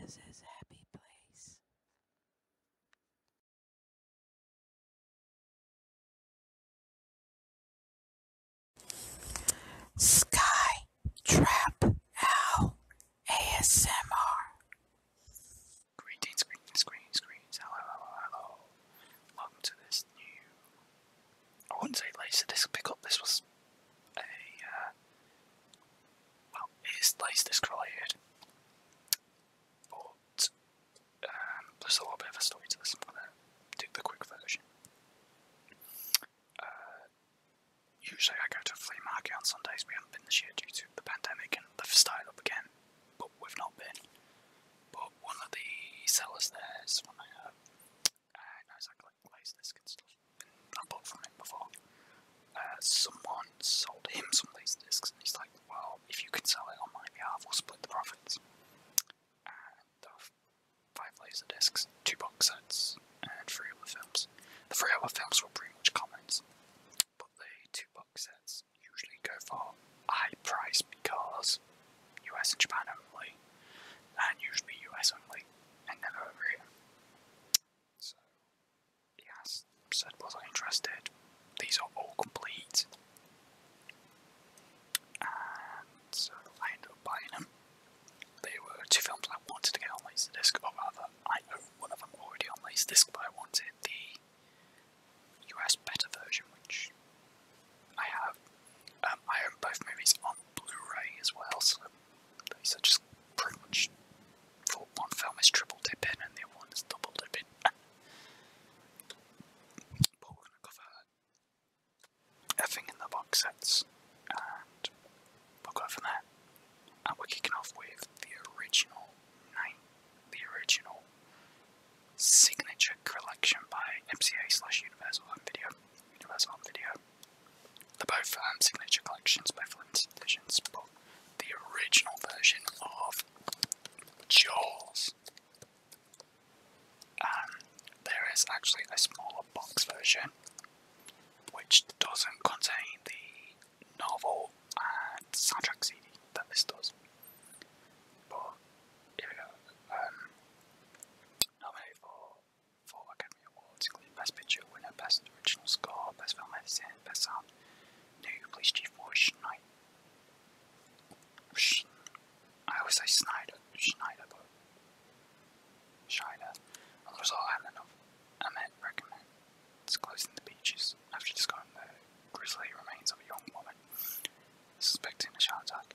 Liz's happy place. Sky Trap Owl ASMR. Greetings, greetings, greetings, greetings. Hello, hello, hello. Welcome to this new. I wouldn't say laser disc pickup, this was a uh, well, it is laser here, but um, there's a little bit of a story to this. I'm gonna do the quick version. Uh, usually, I go to flea market on Sundays. We haven't been this year due to the pandemic, and the style up again, but we've not been. But one of the sellers there is one I know, uh, exactly like Laserdisc and stuff, I bought from him before. Uh, someone sold him some discs, and he's like, well, if you can sell it on my behalf, we'll split the profits. And there were two box sets, and three other films. The three other films were pretty much commons, but the two box sets usually go for a high price because US and Japan only, and usually US only and never over him. So, yeah, said wasn't interested. These are all complete. And so I ended up buying them. There were two films I wanted to get on Laserdisc, or rather, I own one of them already on Laserdisc, but I wanted the US better version, which I have. Um, I own both movies on Blu-ray as well, so so just pretty much for one film is triple dipping and the other one is double dipping. but we're gonna cover everything in the box sets and we'll go from there. And we're kicking off with the original the original signature collection by MCA slash Universal Home Video. Universal Home Video. The are both um, signature collections, both limited editions, but the original version of Jaws. Um, there is actually a smaller box version which doesn't contain the novel and soundtrack CD that this does. But, here we go. Um, Four Academy Awards, including Best Picture winner, Best Original Score, Best Film Editing, Best Sound. New Police Chief was Schneider. I always say Snyder, Schneider, but Schneider. a result, I Ahmed, Ahmed recommends closing the beaches after discovering the grisly remains of a young woman suspecting a child attack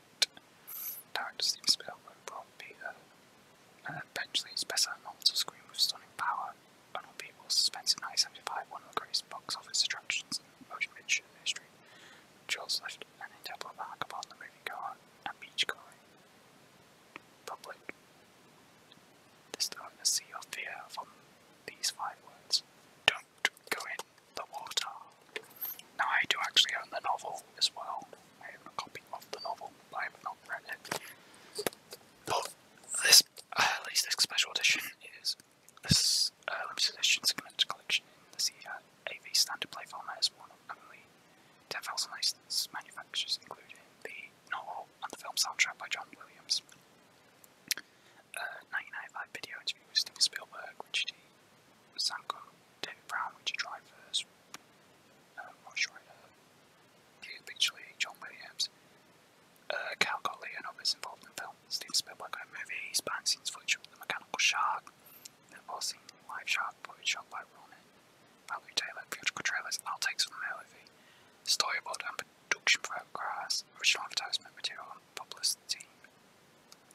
Darren seems to be outgrown and eventually his best known to screen with stunning power. Unknown People suspends in one of greatest box office attractions motion picture history, which left an indelible mark upon the moviegoer and beachgoer public. This thrown a sea of fear from these five words do go in the water. Now I do actually own the novel as well. I have a copy of the novel, I have not read it. But this, uh, at least this special edition is this uh, limited edition collection in the CEA uh, standard play format is one of only 10,000 manufacturers, including the novel and the film soundtrack by John Williams uh, 1995 video interview with Steven Spielberg, which he sang on David Brown, which he tried first, uh, Ross Schreider, Hugh Beachley, John Williams, uh, and others involved in film. Steven Spielberg had movies, behind the scenes the mechanical shark, the live shark footage shot by Ronan, Valerie Taylor, theatrical trailers, outtakes from the movie, storyboard production photographs, original advertisement material publicity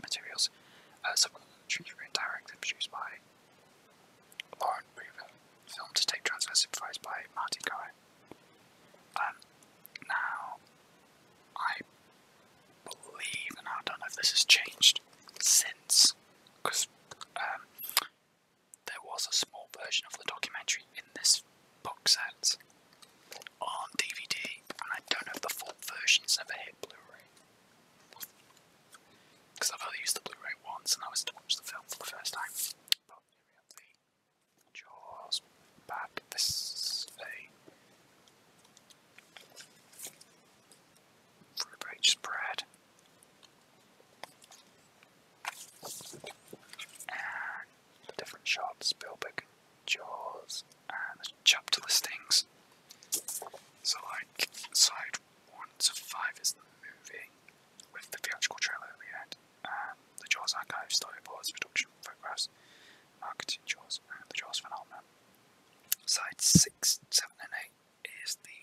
materials. Uh, some of the produced by Lauren Weaver. Film to supervised by Marty Cohen. Um, now, I believe, and I don't know if this has changed since, because um, there was a small version of the documentary in this box sets on DVD, and I don't have the full versions of ever hit Blu-ray. Because I've only used the Blu-ray once, and I was to watch the film for the first time. Jaws back. This is fruit spread the different shots, Spielberg, Jaws, and the chapter listings. So like, side 1 to 5 is the movie, with the theatrical trailer at the end, um, the Jaws archive, storyboards, production photographs, marketing Jaws, and the Jaws phenomenon. Side 6, 7 and 8 is the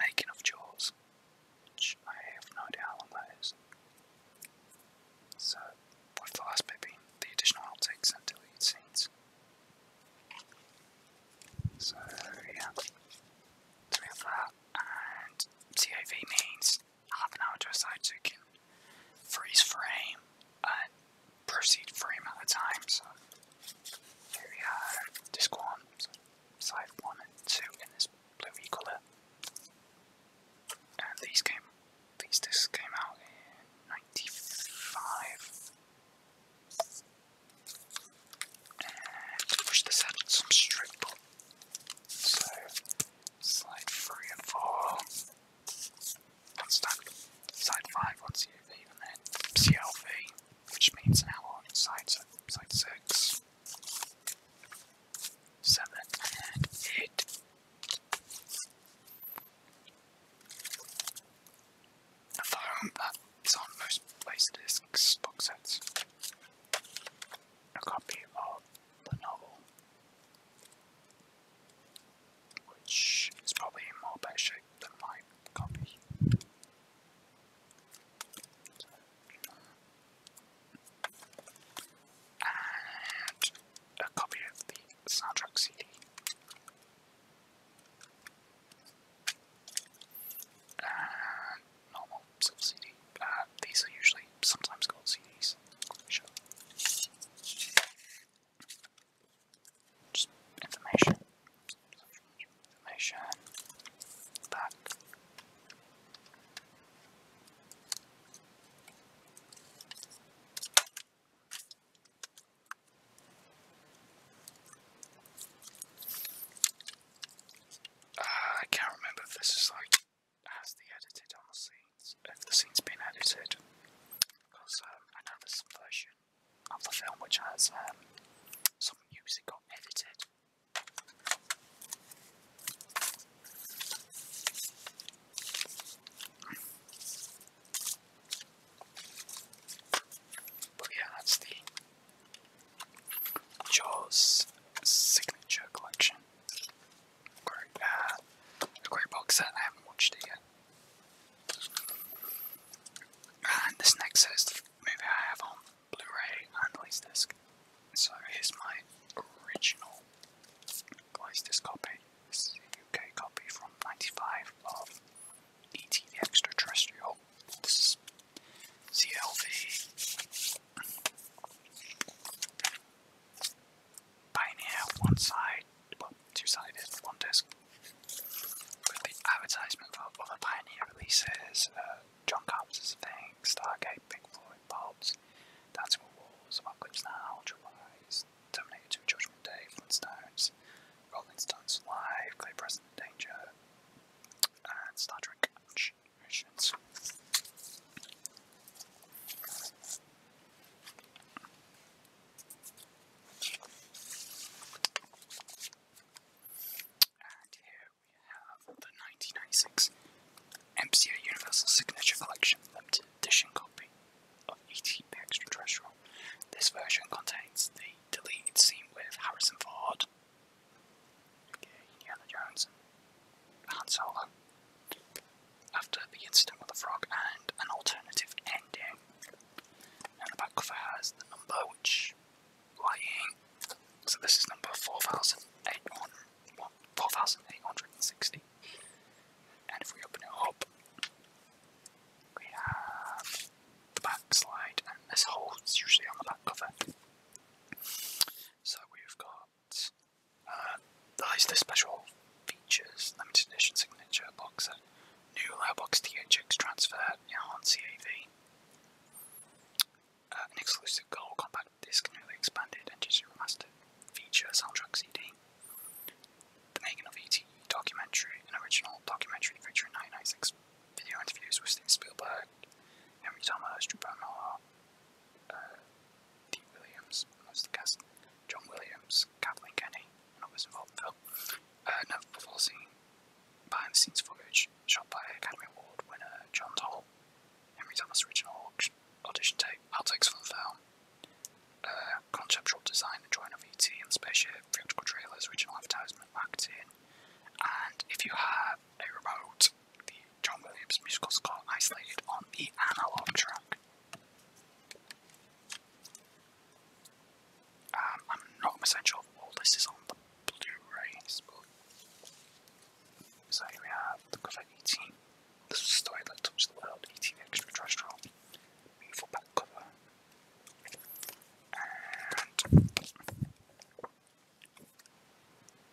making of Jaws, which I have no idea how long that is. So, with the last bit being the additional outtakes and deleted scenes. So, yeah. So we have that, and TAV means half an hour to a side so you can freeze frame and proceed frame at a time. So, here we are, disc 1, side 1 and 2 in this bluey colour. And these came, these discs came out in '95. And push this out with some strip pull. So slide three and four. One stack. Side five on CLV, and then CLV, which means now on side side six seven, and eight. The firearm that is on most Laserdisc sets. A copy of the novel, which is probably in more better shape than my copy and a copy of the soundtrack CD. And normal silver CD. Uh, these are usually sometimes called CDs. Just information. Information. Back. Ah, I can't remember if this is like has the edited on the scenes, if the scene's been edited, because um, I know there's version of the film which has um, some music got edited. But yeah, that's the Jaws Signature Collection. Great, uh, a great box set, I haven't watched it yet. And this next is the I have on Blu-ray and Laserdisc. disc. So here's my original blu-ray disc copy. This is a UK copy from '95 of E.T. the Extraterrestrial. This is CLV. Pioneer, one side, well, two-sided, one disc. With the advertisement for other Pioneer releases, uh, John Carpenter's Thing, Stargate, Pink Floyd, Bob's, Dancing with Wolves, Apocalypse Now, July's, Terminator 2, Judgment Day, Flintstones, Rolling Stones Live, Clear Preston in Danger, and Star Trek Missions. And here we have the 1996 MCA Universal Signature Collection Limited Edition copy of E.T. the Extraterrestrial. This version contains the deleted scene with Harrison Ford, Indiana Jones, Han Solo, after the incident with the frog, and an alternative ending. And the back cover has the number, which so this is number 4860. And if we open it up, we have the back slide, and this holds usually on the back cover. So we've got uh, these the special features, limited edition signature box, and new low box THX transfer, now on CAV an exclusive gold compact disc newly expanded and digitally remastered, feature soundtrack CD, the making of ET documentary, an original documentary feature in 1996 video interviews with Steven Spielberg, Henry Thomas, Drew Barrymore, uh, Dean Williams, amongst the cast, John Williams, Kathleen Kenny, and others involved in film, uh, Never Before Seen, behind the scenes footage shot by Academy Award winner John Toll, Henry Thomas' original audition tape, outtakes from the film, uh, conceptual design and drawing of ET and spaceship, theatrical trailers, original advertisement, marketing, and if you have a remote, the John Williams musical score isolated on the analog track. Um, I'm not sure if all this is on the Blu-rays, so we have the cover 18. This is a story that touched the world, 18 extraterrestrial. Beautiful back cover.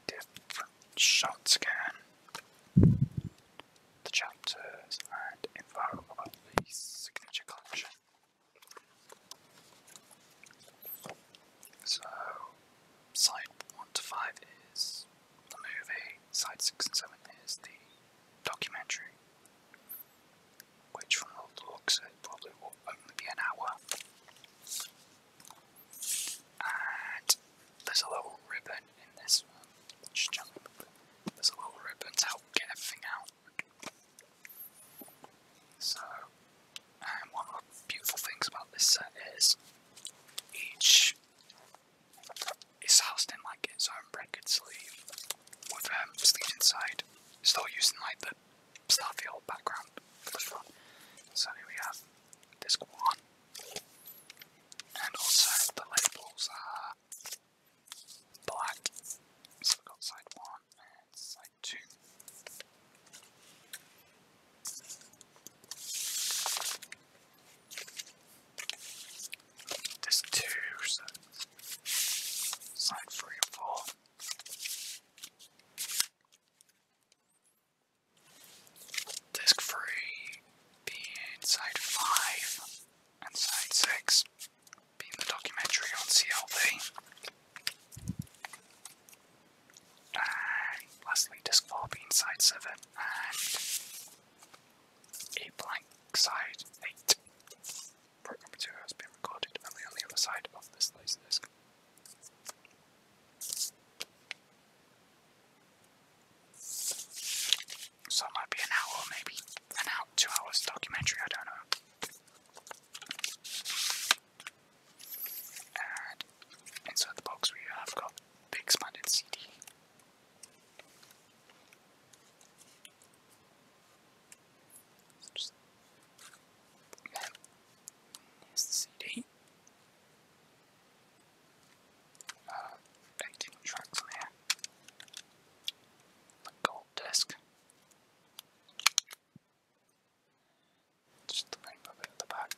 different shots again. The chapters and info about the signature collection. So, side 1 to 5 is the movie, side 6 and 7 is the documentary, which from the looks it probably will only be an hour. And there's a little ribbon in this one, which is There's a little ribbon to help get everything out. So, and one of the beautiful things about this set is each is housed in like its own bracket sleeve with a um, sleeve inside, still using like the Starfield background for the front. So here we have disc one, and also the labels are black. So we've got side one and side to. two, so three or four. Disc three being side five and side six being the documentary on CLV. lastly, disc 4 being side 7 and a blank side 8. Program two has been recorded only on the other side of this laser disc. So it might be an hour, maybe an out two hours documentary, I don't know. And inside the box we have got the CD. Just, CD. Uh, 18 tracks on here. The gold disc. Just the rainbow bit the back.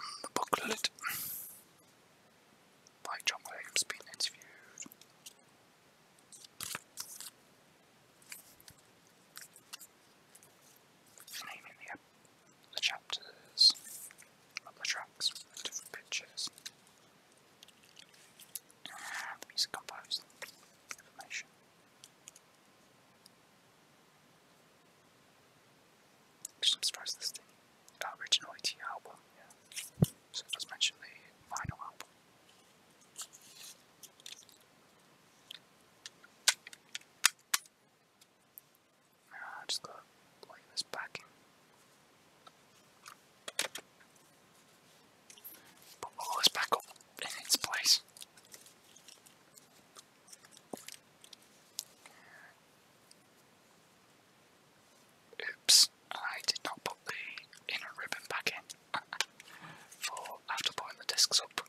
And the booklet by John Williams being interviewed. Naming the the chapters of the tracks with different pictures. music um, composed information. Which I'm the original album, yeah. So it mention the final album. I just gotta this back in. Put all this back in its place. Oops, I did not put the inner ribbon back in for after putting the discs up.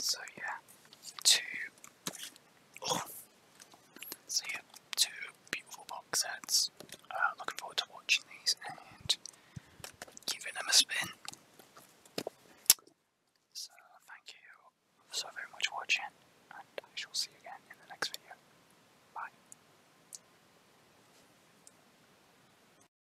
So yeah, two, oh, so yeah, two beautiful box sets. Uh, looking forward to watching these and giving them a spin. So thank you so very much for watching, and I shall see you again in the next video. Bye.